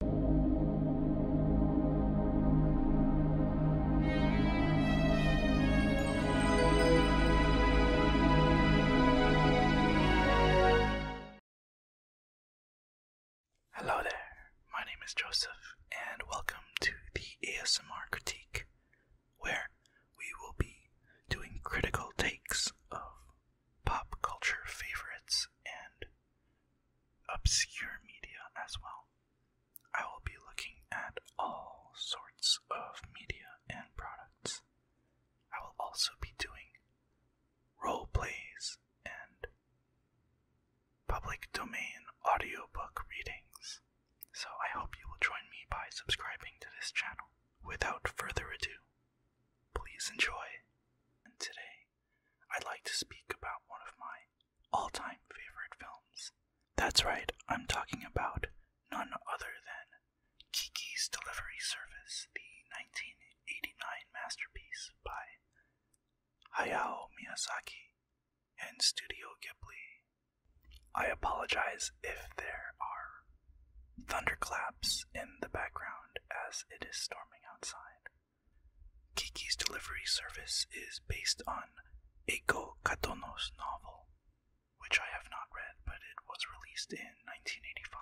Hello there, my name is Joseph, and welcome to the ASMR Critique, where we will be doing critical takes of pop culture favorites and obscure media as well. I will be looking at all sorts of media and products. I will also be doing role plays and public domain audiobook readings. So I hope you will join me by subscribing to this channel. Without further ado, please enjoy. And today I'd like to speak about one of my all time favorite films. That's right, I'm talking about none other than Kiki's Delivery Service, the 1989 masterpiece by Hayao Miyazaki and Studio Ghibli. I apologize if there are thunderclaps in the background as it is storming outside. Kiki's delivery service is based on Eiko Katono's novel, which I have not read, but it was released in 1985.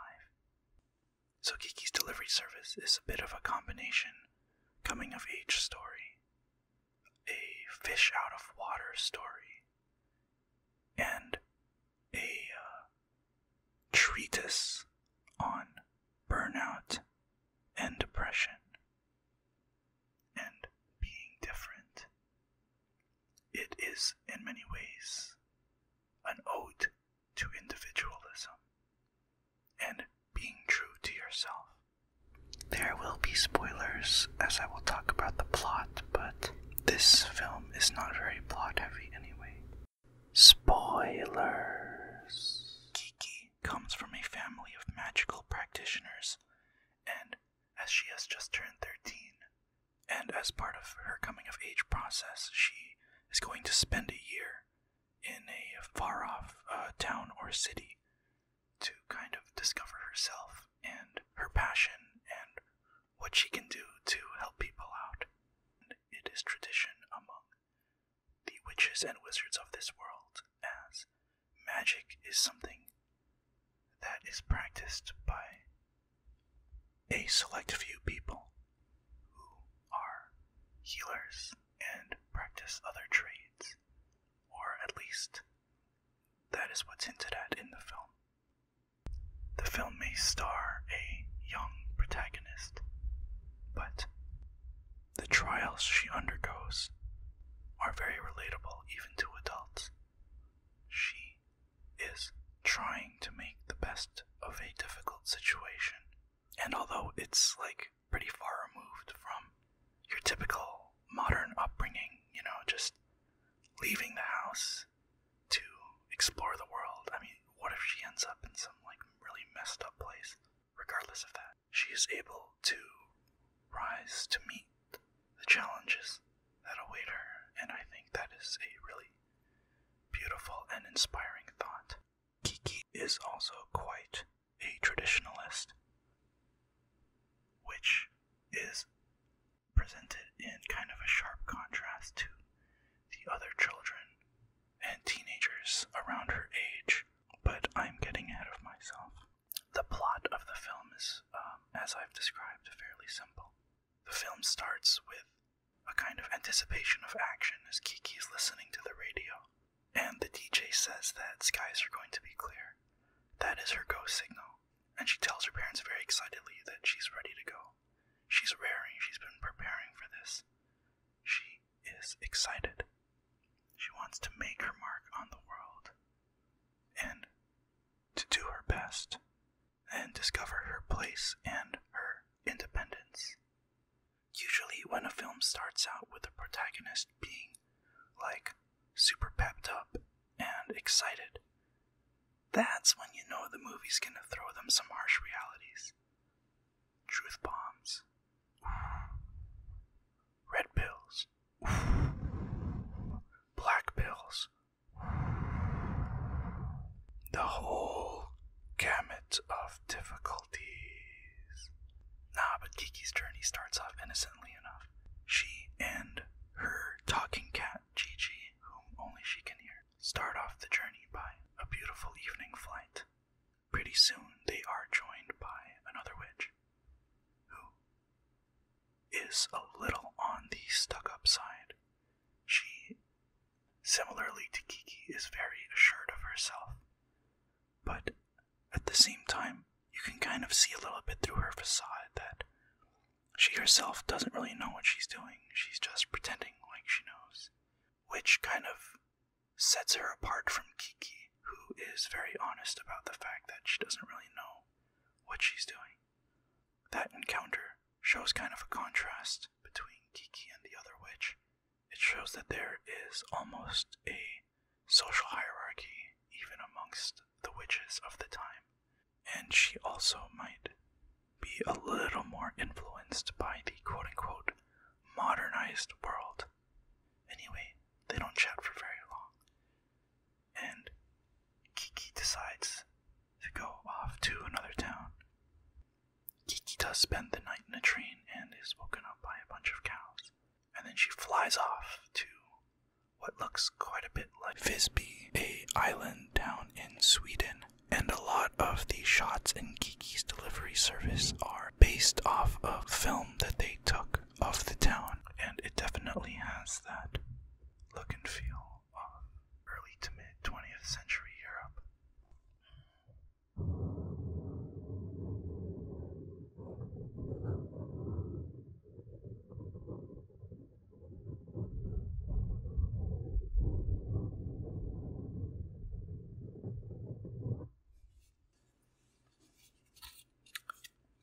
So Kiki's delivery service is a bit of a combination coming of age story, a fish out of water story, and a uh, treatise on burnout and depression and being different. It is, in many ways, an ode to individualism and being true to yourself. There will be spoilers as I will talk about the plot, but this film is not very plot heavy anyway. Spoilers. Kiki comes from a family of magical practitioners, and as she has just turned 13, and as part of her coming of age process, she is going to spend a year in a far off uh, town or city to kind of discover herself and her passion and what she can do to help people out. it is tradition among the witches and wizards of this world, as magic is something that is practiced by a select few people who are healers and practice other trades, or at least that is what's hinted at in the film. The film may star a young protagonist, but the trials she undergoes are very relatable even to adults. She is trying to make the best of a difficult situation. And although it's like pretty far removed from your typical modern upbringing, you know, just leaving the house to explore the world, I mean, what if she ends up in some like really messed up place, regardless of that? she is able to rise to meet the challenges that await her, and I think that is a really beautiful and inspiring thought. Kiki is also quite a traditionalist, which is presented in kind of a sharp contrast to the other children and teenagers around her age, but I'm getting ahead of myself. The plot of the film is, um, as I've described, fairly simple. The film starts with a kind of anticipation of action as Kiki is listening to the radio, and the DJ says that skies are going to be clear. That is her go signal, and she tells her parents very excitedly that she's ready to go. She's raring, she's been preparing for this. She is excited. She wants to make her mark on the world and to do her best and discover her place and her independence. Usually, when a film starts out with the protagonist being like super pepped up and excited, that's when you know the movie's gonna throw them some harsh realities. Truth bombs, Red pills. Black pills. The whole gamut of difficulties. Nah, but Kiki's journey starts off innocently enough. She and her talking cat, Gigi, whom only she can hear, start off the journey by a beautiful evening flight Pretty soon they are joined by another witch who is a little on the stuck up side. She, similarly to Kiki, is very assured of herself, but at the same time, you can kind of see a little bit through her facade that she herself doesn't really know what she's doing. She's just pretending like she knows, which kind of sets her apart from Kiki, who is very honest about the fact that she doesn't really know what she's doing. That encounter shows kind of a contrast between Kiki and the other witch. It shows that there is almost a social hierarchy even amongst the witches of the time, and she also might be a little more influenced by the quote unquote modernized world Anyway, they don't chat for very long. And Kiki decides to go off to another town. Kiki does spend the night in a train and is woken up by a bunch of cows. And then she flies off to what looks quite a bit like Visby, a island town in Sweden. And a lot of the shots in Kiki's delivery service are based off of film that they took of the town, and it definitely has that look and feel of early to mid 20th century Europe.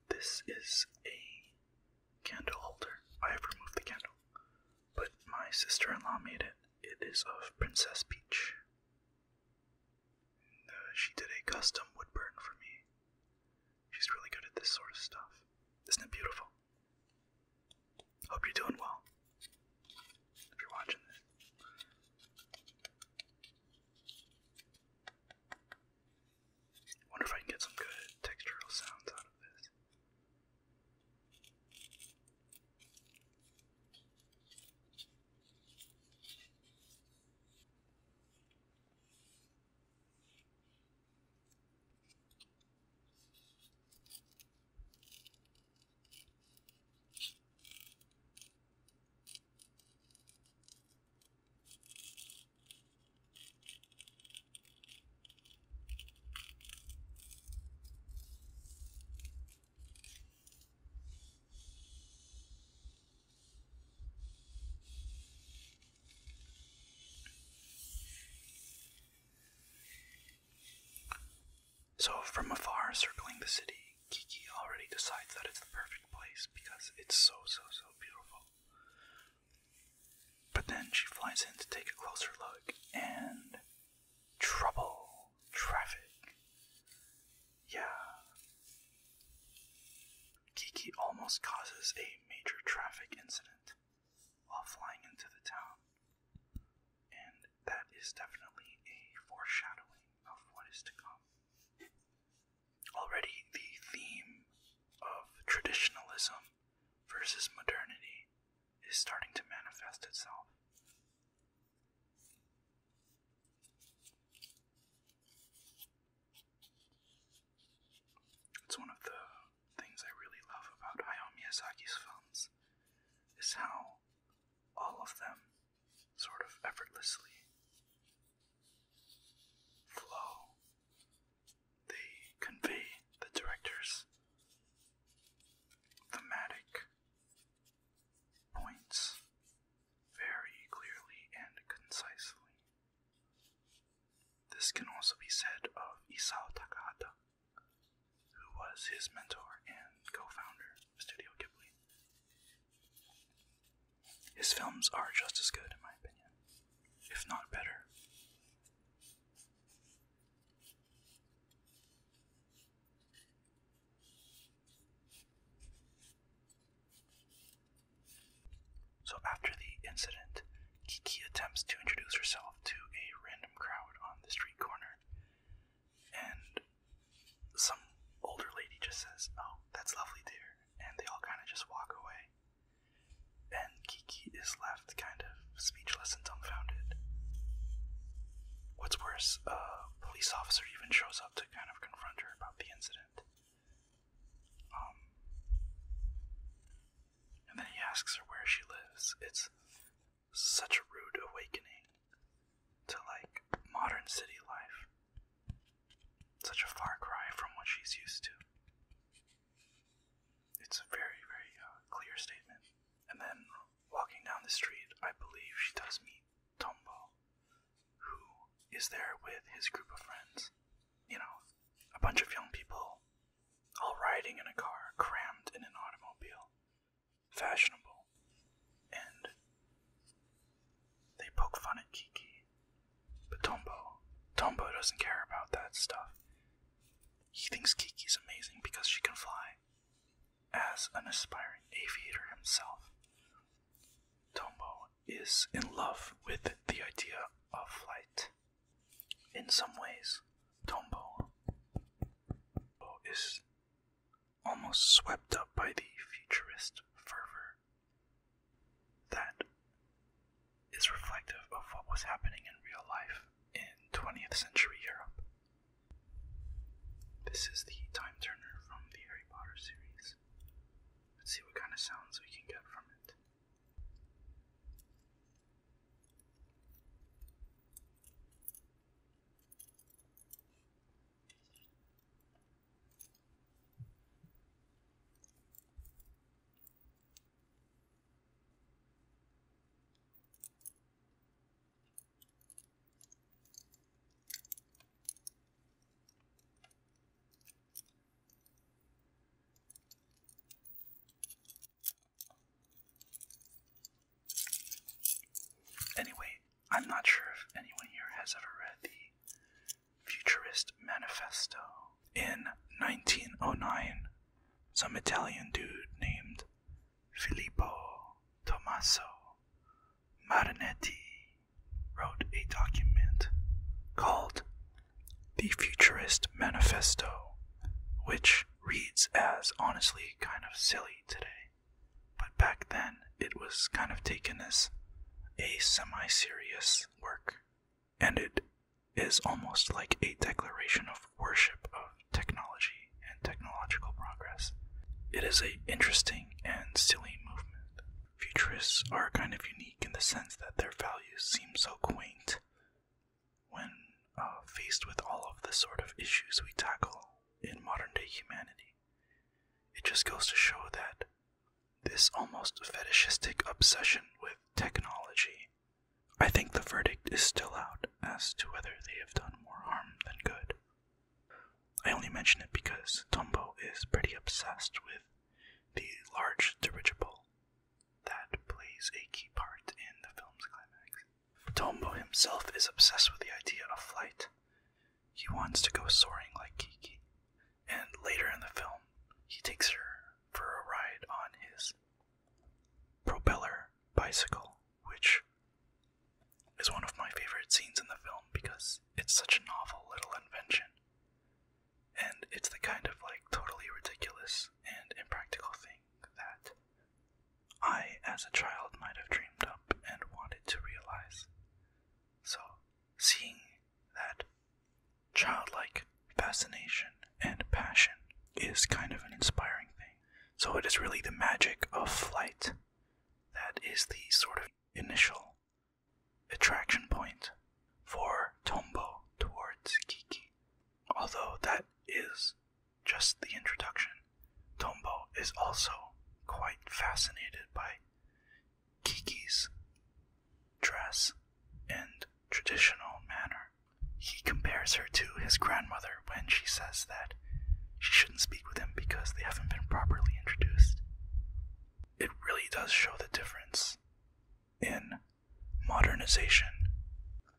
This is a candle holder. I have removed the candle, but my sister in law made it. It is of Princess Peach. Uh, she did a custom woodburn for me. She's really good at this sort of stuff. Isn't it beautiful? Hope you're doing well. If you're watching this, Wonder if I can get some good textural sounds out of this. So, from afar, circling the city, Kiki already decides that it's the perfect place because it's so, so, so beautiful. But then she flies in to take a closer look, and trouble, traffic. Yeah. Kiki almost causes a major traffic incident while flying into the town, and that is definitely a foreshadowing of what is to come. Already, the theme of traditionalism versus modernity is starting to manifest itself. It's one of the things I really love about Hayao Miyazaki's films is how all of them sort of effortlessly flow. They convey the director's thematic points very clearly and concisely. This can also be said of Isao Takada, who was his mentor and co founder of Studio Ghibli. His films are just as good, in my opinion, if not better. So, after the incident, Kiki attempts to introduce herself to a random crowd on the street corner, and some older lady just says, "Oh, that's lovely, dear," and they all kind of just walk away. And Kiki is left kind of speechless and dumbfounded. What's worse, a police officer even shows up to kind of confront her about the incident. Um, and then he asks her where she lives. It's such a rude awakening to like modern city life. Such a far cry from what she's used to. It's a very, very uh, clear statement. And then walking down the street, I believe she does meet Tombo, who is there with his group of friends. You know, a bunch of young people all riding in a car, crammed in an automobile. Fashionable. And they poke fun at Kiki, but Tombo, Tombo doesn't care about that stuff. He thinks Kiki's amazing because she can fly. As an aspiring aviator himself, Tombo is in love with the idea of flight. In some ways, Tombo is almost swept up by the futurist fervor that is reflective of what was happening in real life in 20th century Europe. This is the time turner from the Harry Potter series. Let's see what kind of sounds we can get from it. Anyway, I'm not sure if anyone here has ever read the Futurist Manifesto. In 1909, some Italian dude named Filippo Tommaso Marinetti wrote a document called the Futurist Manifesto, which reads as honestly kind of silly today, but back then it was kind of taken as a semi serious work, and it is almost like a declaration of worship of technology and technological progress. It is an interesting and silly movement. Futurists are kind of unique in the sense that their values seem so quaint when uh, faced with all of the sort of issues we tackle in modern day humanity. It just goes to show that this almost fetishistic obsession with technology. I think the verdict is still out as to whether they have done more harm than good. I only mention it because Tombo is pretty obsessed with the large dirigible that plays a key part in the film's climax. Tombo himself is obsessed with the idea of flight, he wants to go soaring like Kiki, and later in the film, he takes her for a ride on his propeller bicycle, which is one of my favorite scenes in the film because it's such a novel little invention. And it's the kind of like totally ridiculous and impractical thing that I, as a child, might have dreamed up and wanted to realize. So, seeing that childlike fascination and passion is kind of an inspiring thing. So it is really the magic of flight that is the sort of initial attraction point for Tombo towards Kiki. Although that is just the introduction, Tombo is also quite fascinated by Kiki's dress and traditional manner. He compares her to his grandmother when she says that she shouldn't speak with him because they haven't been properly introduced. It really does show the difference in modernization.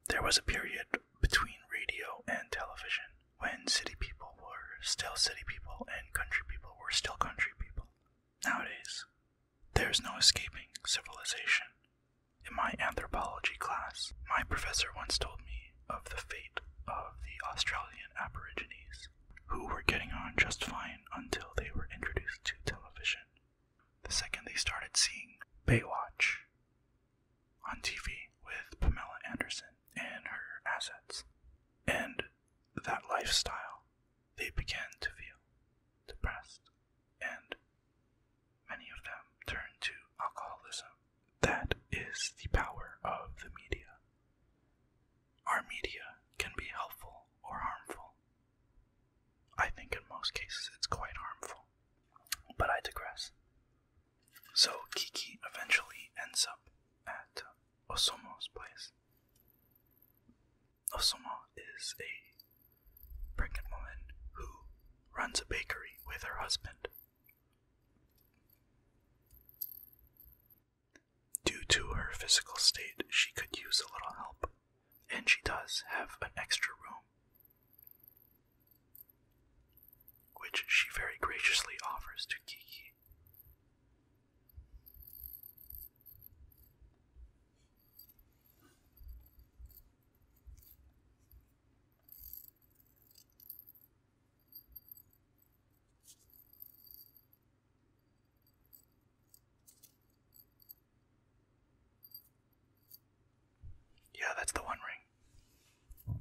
There was a period between radio and television when city people were still city people and country people were still country people. Nowadays, there is no escaping civilization. In my anthropology class, my professor once told me of the fate of the Australian Aborigines, who were getting on just fine until they were introduced to television. The second they started seeing Baywatch on TV with Pamela Anderson and her assets, and that lifestyle they began to feel depressed, and many of them turned to alcoholism. That is the power of the media. Our media can be helpful or harmful. I think in most cases it's quite harmful, but I digress. So Kiki eventually ends up at Osomo's place. Osomo is a pregnant woman who runs a bakery with her husband. Due to her physical state, she could use a little help, and she does have an extra room, which she very graciously offers to Kiki. Yeah, that's the one ring.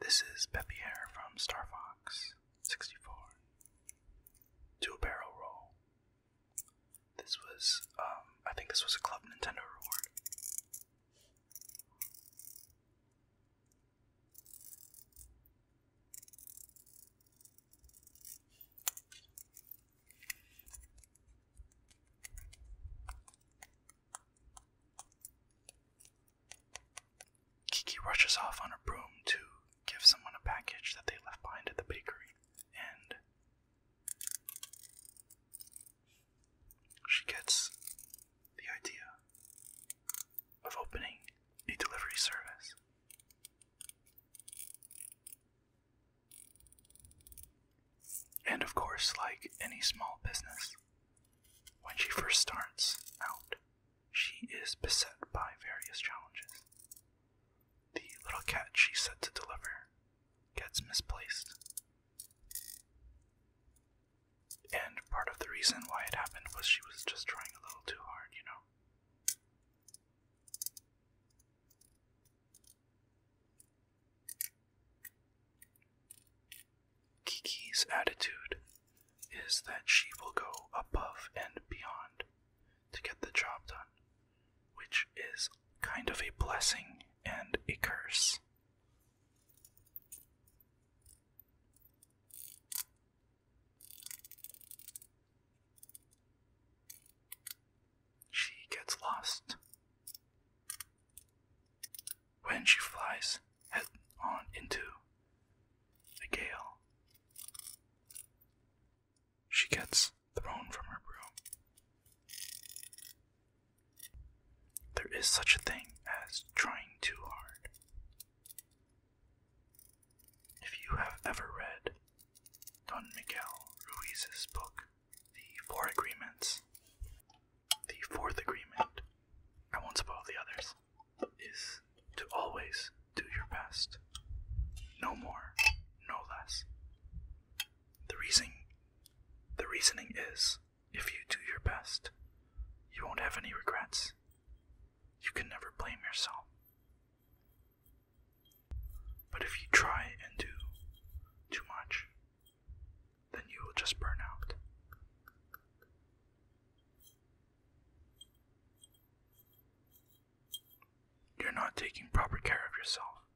This is Pepierre from Star Fox 64. Two barrel roll. This was, um, I think this was a Club Nintendo reward. Kiki rushes off on a broom to give someone a package that they left behind at the bakery, and she gets the idea of opening a delivery service. And of course, like any small business, when she first starts out, she is beset by various challenges. The little cat she set to deliver gets misplaced. And part of the reason why it happened was she was just trying a little too hard, you know? Kiki's attitude is that she will go above and beyond to get the job done, which is kind of a blessing and a curse. She gets lost. When she flies head on into the gale, she gets thrown from her broom. There is such a thing as trying too hard. If you have ever read Don Miguel Ruiz's book, The Four Agreements. The fourth agreement, I won't spoil the others, is to always do your best. No more, no less. The reasoning, the reasoning is if you do your best, you won't have any regrets. You can never blame yourself. But if you try and do too much, then you will just burn out. You're not taking proper care of yourself,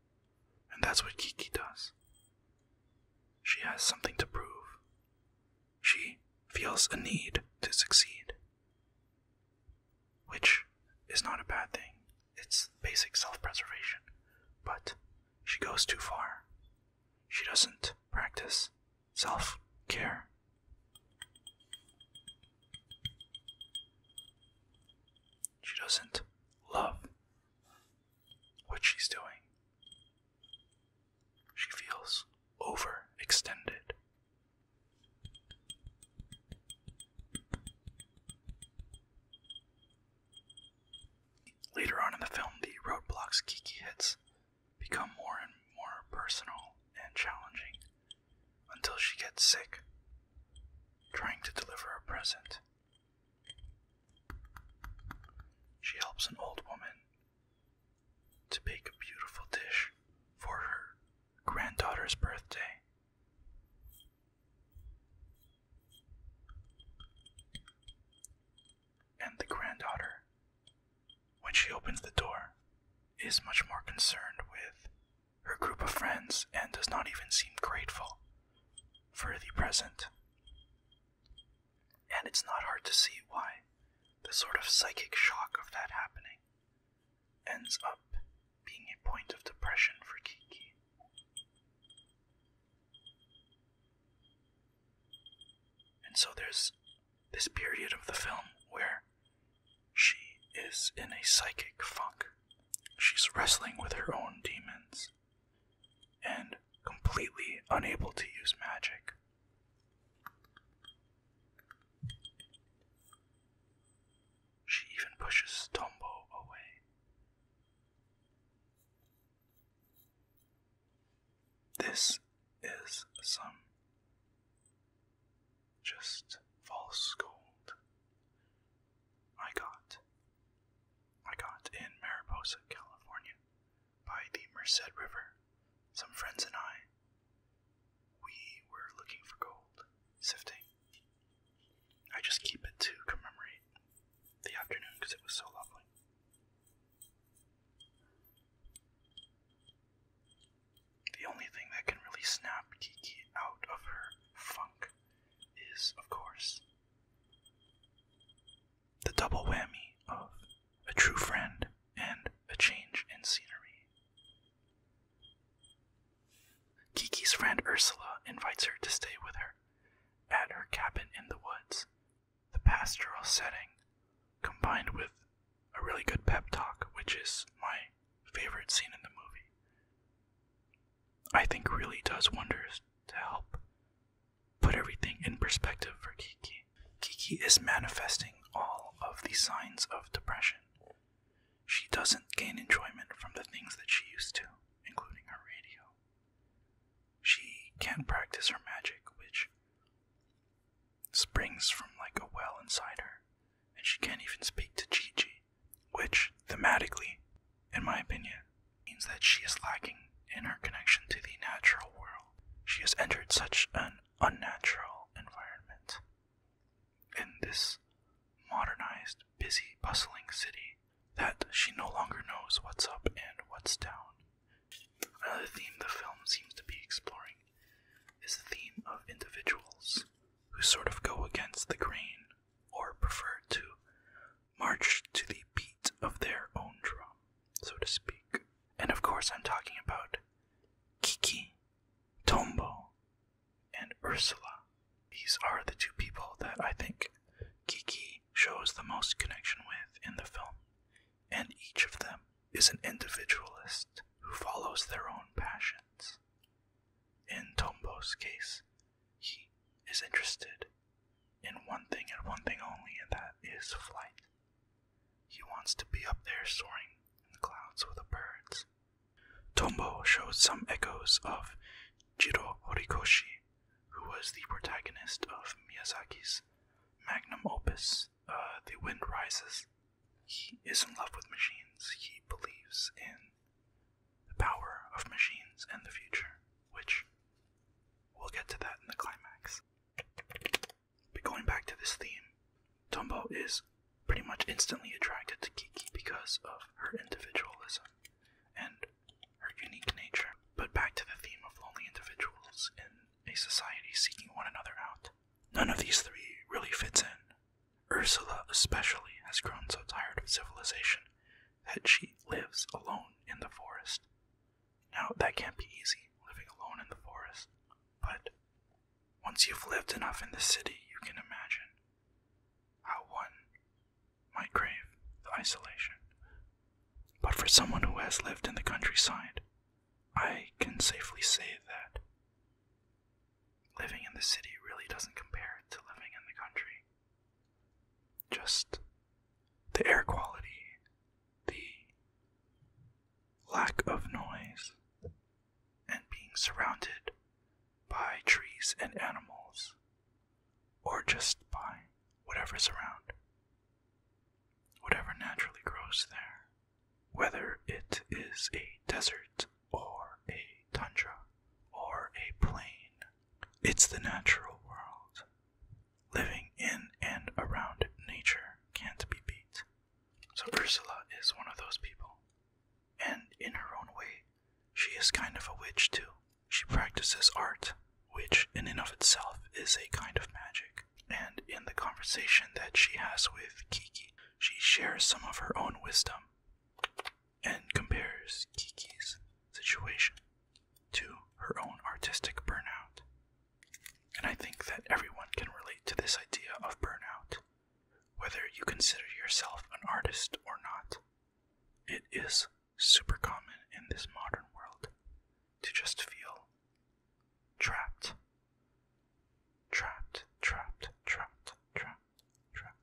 and that's what Kiki does. She has something to prove. She feels a need to succeed which is not a bad thing. It's basic self preservation. But she goes too far. She doesn't practice self care. She doesn't love what she's doing. She feels overextended. Later on in the film, the roadblocks Kiki hits become more and more personal and challenging until she gets sick trying to deliver a present. She helps an old woman to bake a beautiful dish for her granddaughter's birthday. And the granddaughter, when she opens the door, is much more concerned with her group of friends and does not even seem grateful for the present. And it's not hard to see why the sort of psychic shock of that happening ends up being a point of depression for Kiki. And so there's this period of the film where she is in a psychic funk. She's wrestling with her own demons and completely unable to use magic. She even pushes Tombo away. This is some just false gold I got. I got in Mariposa, California, by the Merced River. Some friends and I, we were looking for gold, sifting, I just keep it to commemorate the afternoon because it was so lovely. The only thing that can really snap Kiki out of her funk is, of course, the double whammy of a true friend and a change in scenery. Kiki's friend Ursula invites her to stay with her at her cabin in the woods. The pastoral setting, combined with a really good pep talk, which is my favorite scene in the movie, I think really does wonders to help put everything in perspective for Kiki. Kiki is manifesting all of the signs of depression she doesn't gain enjoyment from the things that she used to, including her radio. She can't practice her magic, which springs from like a well inside her, and she can't even speak to Gigi, which thematically, in my opinion, means that she is lacking in her connection to the natural world. She has entered such an unnatural environment. In this modernized, busy, bustling city, that she no longer knows what's up and what's down. Another theme the film seems to be exploring is the theme of individuals who sort of go against the grain or prefer to march to the beat of their own drum, so to speak. And of course, I'm talking about Kiki, Tombo, and Ursula. These are the two people that I think Kiki shows the most connection with in the film, and each of them is an individualist who follows their own passions. In Tombo's case, he is interested in one thing and one thing only, and that is flight. He wants to be up there soaring in the clouds with the birds Tombo shows some echoes of Jiro Horikoshi, who was the protagonist of Miyazaki's magnum opus, uh, The Wind Rises. He is in love with machines. He believes in the power of machines and the future, which we'll get to that in the climax. But going back to this theme, Tombo is pretty much instantly attracted to Kiki because of her individualism and her unique nature. But back to the theme of lonely individuals in a society seeking one another out. None of these three really fits in. Ursula, especially, has grown so tired of civilization that she lives alone in the forest. Now, that can't be easy, living alone in the forest, but once you've lived enough in the city, you can imagine how one my grave, the isolation. But for someone who has lived in the countryside, I can safely say that living in the city really doesn't compare to living in the country. Just the air quality, the lack of noise, and being surrounded by trees and animals or just by whatever's around, whatever naturally grows there, whether it is a desert or a tundra or a plain. It's the natural world. Living in and around nature can't be beat. So Ursula is one of those people. And in her own way, she is kind of a witch too. She practices art, which in and of itself is a kind of magic. And in the conversation that she has with Kiki, she shares some of her own wisdom and compares Kiki's situation to her own artistic burnout. And I think that everyone can relate to this idea of burnout, whether you consider yourself an artist or not. It is super common in this modern world to just feel trapped. Trapped, trapped, trapped, trapped, trapped,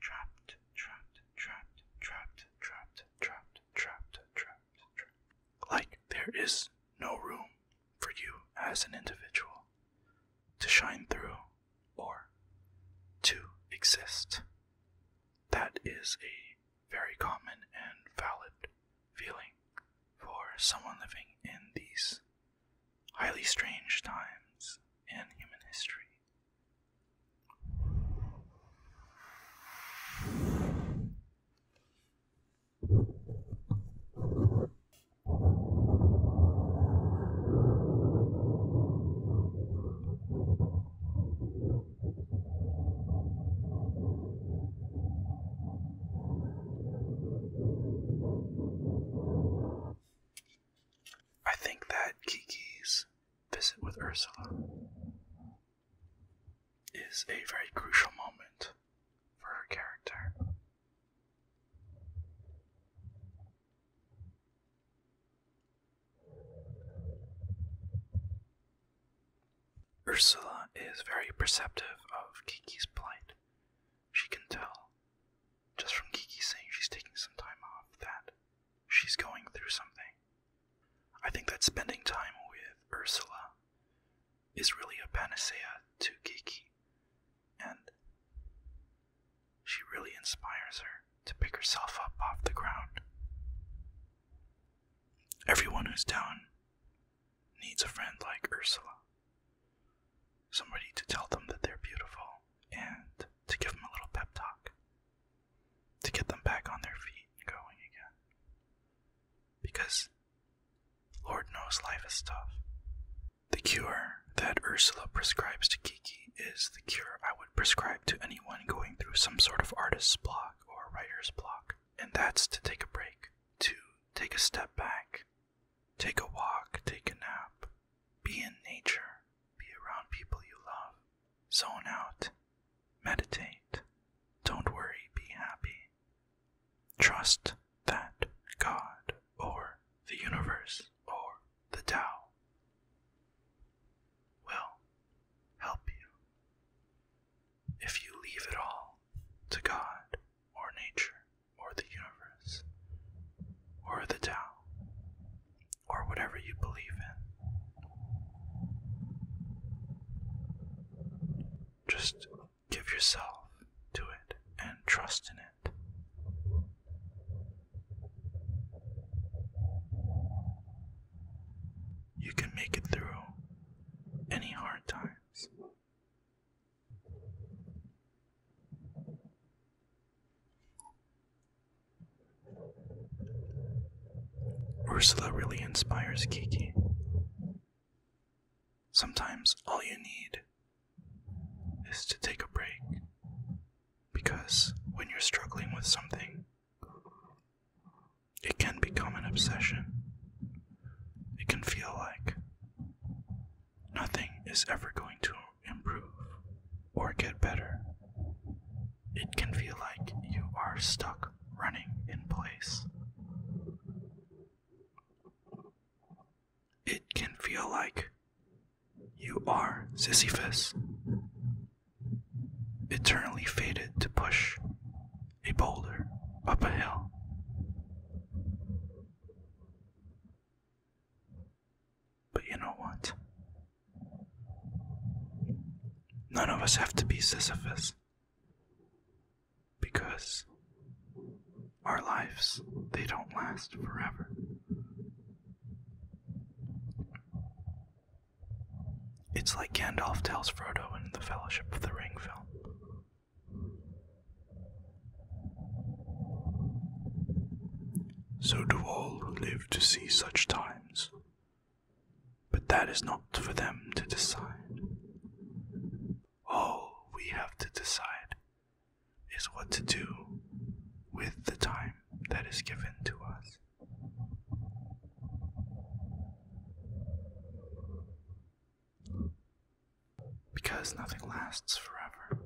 trapped, trapped, trapped, trapped, trapped, trapped, trapped, trapped, trapped. Like there is no room for you as an individual to shine through or to exist. That is a very common and valid feeling for someone living in these highly strange times in human history. I think that Kiki's visit with Ursula is a very crucial moment for her character. Ursula is very perceptive of Kiki's plight. She can tell, just from Kiki saying she's taking some time off, that she's going through something. I think that spending time with Ursula is really a panacea to Kiki, and she really inspires her to pick herself up off the ground. Everyone who's down needs a friend like Ursula. Somebody to tell them that they're beautiful and to give them a little pep talk. To get them back on their feet and going again. Because Lord knows life is tough. The cure that Ursula prescribes to is the cure I would prescribe to anyone going through some sort of artist's block or writer's block, and that's to take a break, to take a step back, take a walk, take a nap, be in nature, be around people you love, zone out, meditate, don't worry, be happy. Trust that God or the universe or the Tao will help you if you leave it all to God or nature or the universe or the Tao or whatever you believe in. Just give yourself to it and trust in it. You can make it through any hard times. Ursula really inspires Kiki. Sometimes all you need is to take a break because when you're struggling with something, it can become an obsession. It can feel like nothing is ever going to improve or get better. It can feel like you are stuck running in place. It can feel like you are Sisyphus eternally fated to push a boulder up a hill. But you know what? None of us have to be Sisyphus because our lives, they don't last forever. It's like Gandalf tells Frodo in the Fellowship of the Ring film. So do all who live to see such times, but that is not for them to decide. All we have to decide is what to do with the time that is given to us. Because nothing lasts forever.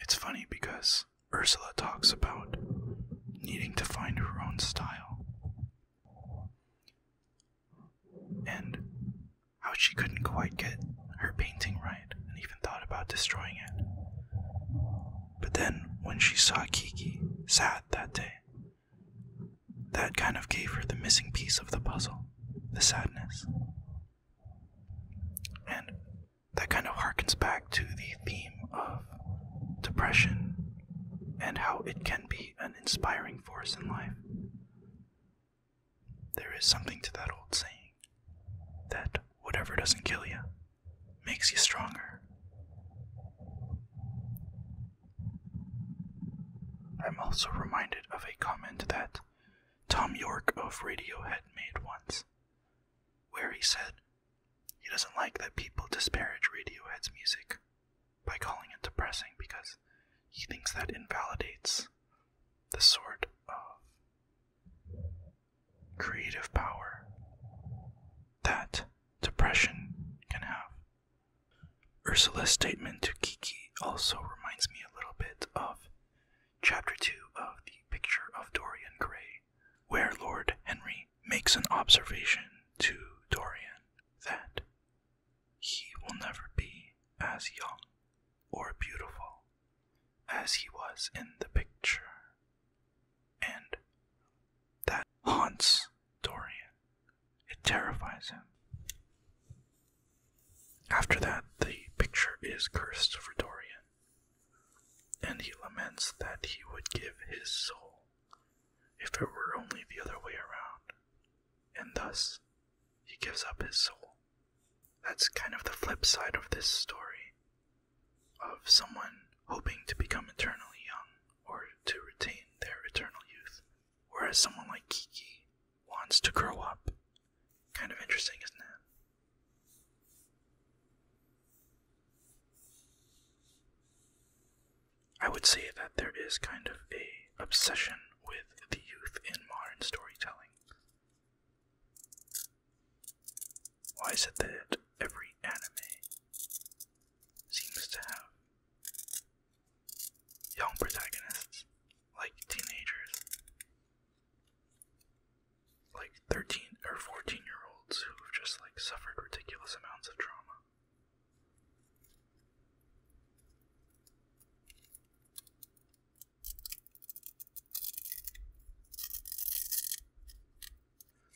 It's funny because Ursula talks about needing to find her own style and how she couldn't quite get her painting right and even thought about destroying it. But then, when she saw Kiki sad that day, that kind of gave her the missing piece of the puzzle the sadness. And that kind of harkens back to the theme of depression and how it can be an inspiring force in life. There is something to that old saying that whatever doesn't kill you makes you stronger. I'm also reminded of a comment that Tom York of Radiohead made once, where he said he doesn't like that people disparage Radiohead's music by calling it depressing because he thinks that invalidates the sort of creative power that depression can have. Ursula's statement to Kiki also reminds me a little bit of Chapter 2 of The Picture of Dorian Gray, where Lord Henry makes an observation to Dorian that he will never be as young or beautiful as he was in the picture. And that haunts Dorian. It terrifies him. After that, the picture is cursed for Dorian, and he laments that he would give his soul if it were only the other way around, and thus he gives up his soul. That's kind of the flip side of this story of someone hoping to become eternally young or to retain their eternal youth, whereas someone like Kiki wants to grow up. Kind of interesting, isn't it? I would say that there is kind of a obsession with the youth in modern storytelling. Why is it that every anime seems to have young protagonists, like teenagers, like 13 or 14 year olds who have just like suffered ridiculous amounts of trauma?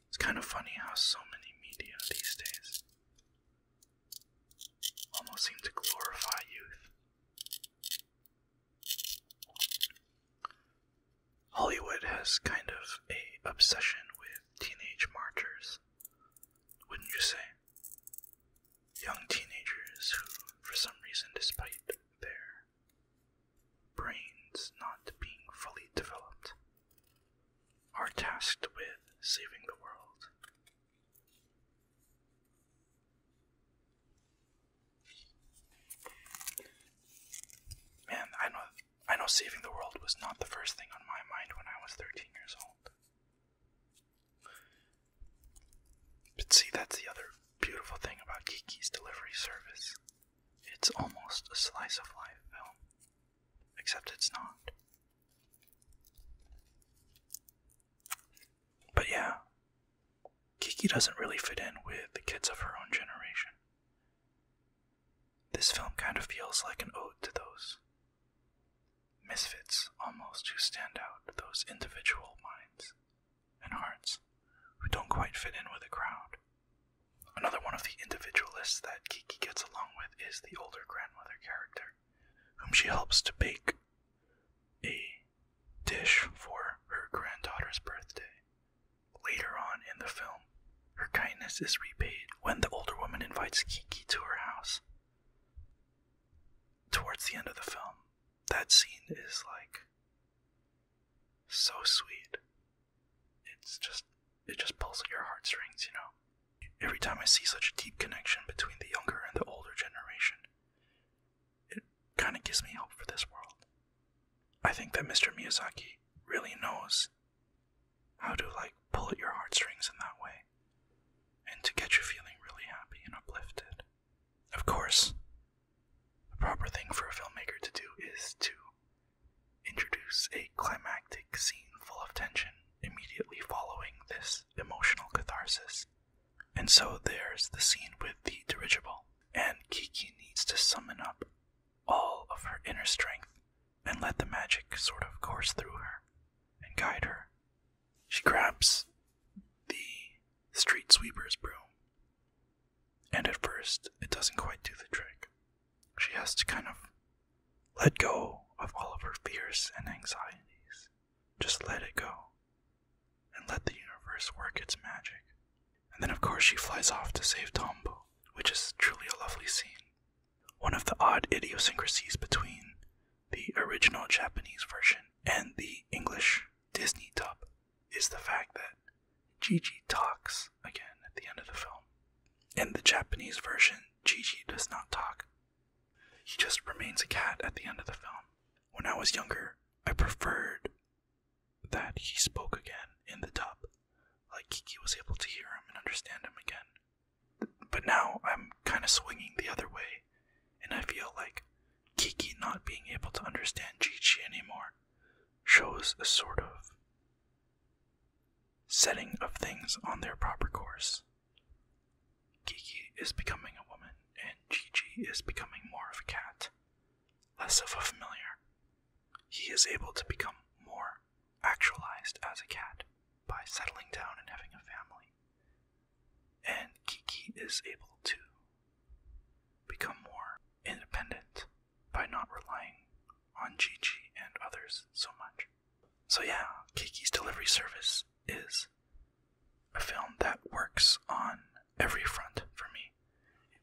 It's kind of funny how so many media these days almost seem to glorify youth. Hollywood has kind of a obsession with teenage marchers, wouldn't you say? young teenagers who, for some reason, despite their brains not being fully developed, are tasked with saving the world. Man, I know I know saving the world was not the first thing on my mind when I was 13 years old. But see, that's the other beautiful thing about Kiki's delivery service. It's almost a slice of life film, except it's not. But yeah, Kiki doesn't really fit in with the kids of her own generation. This film kind of feels like an ode to those misfits almost who stand out, those individual minds and hearts who don't quite fit in with the crowd. Another one of the individualists that Kiki gets along with is the older grandmother character, whom she helps to bake a dish for her granddaughter's birthday. Later on in the film, her kindness is repaid when the older woman invites Kiki to her house towards the end of the film. That scene is like so sweet. It's just it just pulls at your heartstrings, you know. Every time I see such a deep connection between the younger and the older generation, it kind of gives me hope for this world. I think that Mr. Miyazaki really knows how to like pull at your heartstrings in that way and to get you feeling really happy and uplifted. Of course, the proper thing for a filmmaker to do is to introduce a climactic scene full of tension immediately following this emotional catharsis. And so there's the scene with the dirigible, and Kiki needs to summon up all of her inner strength and let the magic sort of course through her and guide her she grabs the street sweeper's broom. And at first, it doesn't quite do the trick. She has to kind of let go of all of her fears and anxieties. Just let it go. And let the universe work its magic. And then, of course, she flies off to save Tombo, which is truly a lovely scene. One of the odd idiosyncrasies between the original Japanese version and the English Disney dub is the fact that Gigi talks again at the end of the film. In the Japanese version, Gigi does not talk. He just remains a cat at the end of the film. When I was younger, I preferred that he spoke again in the dub, like Kiki was able to hear him and understand him again. But now I'm kind of swinging the other way and I feel like Kiki not being able to understand Gigi anymore shows a sort of setting of things on their proper course. Kiki is becoming a woman, and Gigi is becoming more of a cat, less of a familiar. He is able to become more actualized as a cat by settling down and having a family, and Kiki is able to become more independent by not relying on Gigi and others so much. So, yeah, Kiki's Delivery Service is a film that works on every front for me.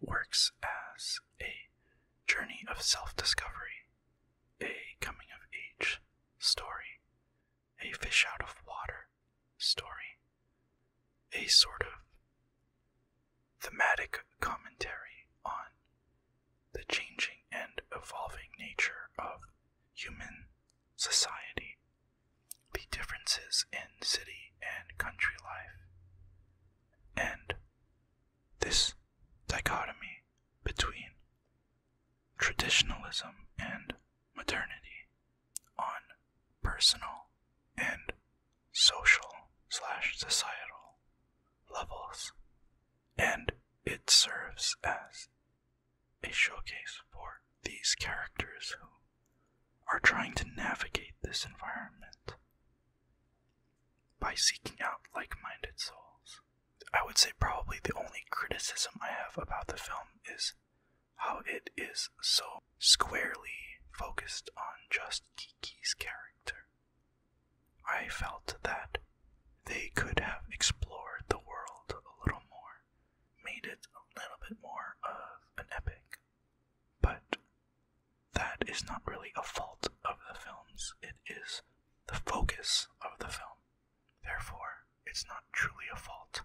It works as a journey of self discovery, a coming of age story, a fish out of water story, a sort of thematic commentary on the changing and evolving nature of human society, the differences in city and country life, and this dichotomy between traditionalism and modernity on personal and social slash societal levels, and it serves as a showcase for these characters who are trying to navigate this environment by seeking out like minded souls. I would say probably the only criticism I have about the film is how it is so squarely focused on just Kiki's character. I felt that they could have explored the world a little more, made it a little bit more of an epic. But that is not really a fault of the films, it is the focus of the film. Therefore, it's not truly a fault.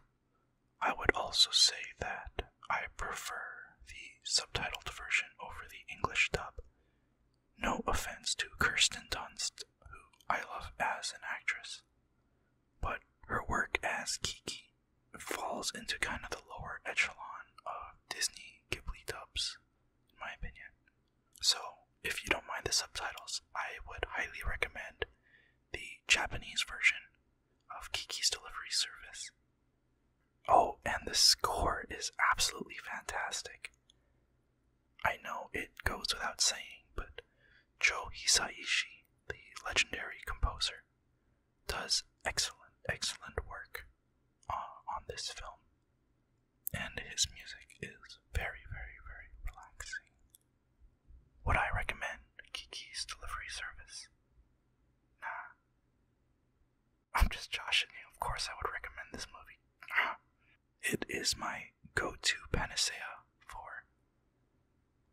I would also say that I prefer the subtitled version over the English dub. No offense to Kirsten Dunst, who I love as an actress, but her work as Kiki falls into kind of the lower echelon of Disney Ghibli dubs, in my opinion. So, if you don't mind the subtitles, I would highly recommend the Japanese version of Kiki's Delivery Service. Oh, and the score is absolutely fantastic. I know it goes without saying, but Joe Hisaishi, the legendary composer, does excellent, excellent work uh, on this film. And his music is very, very, very relaxing. Would I recommend Kiki's delivery service? Nah. I'm just joshing you. Of course, I would recommend this movie. It is my go to panacea for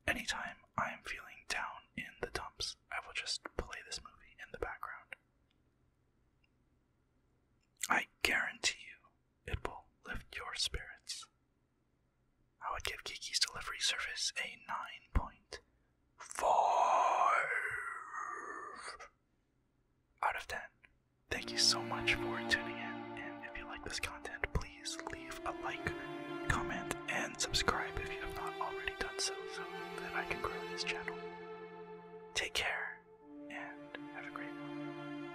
anytime I am feeling down in the dumps. I will just play this movie in the background. I guarantee you it will lift your spirits. I would give Kiki's delivery service a 9.5 out of 10. Thank you so much for tuning in, and if you like this content, please leave a like, comment, and subscribe if you have not already done so, so that I can grow this channel. Take care, and have a great one.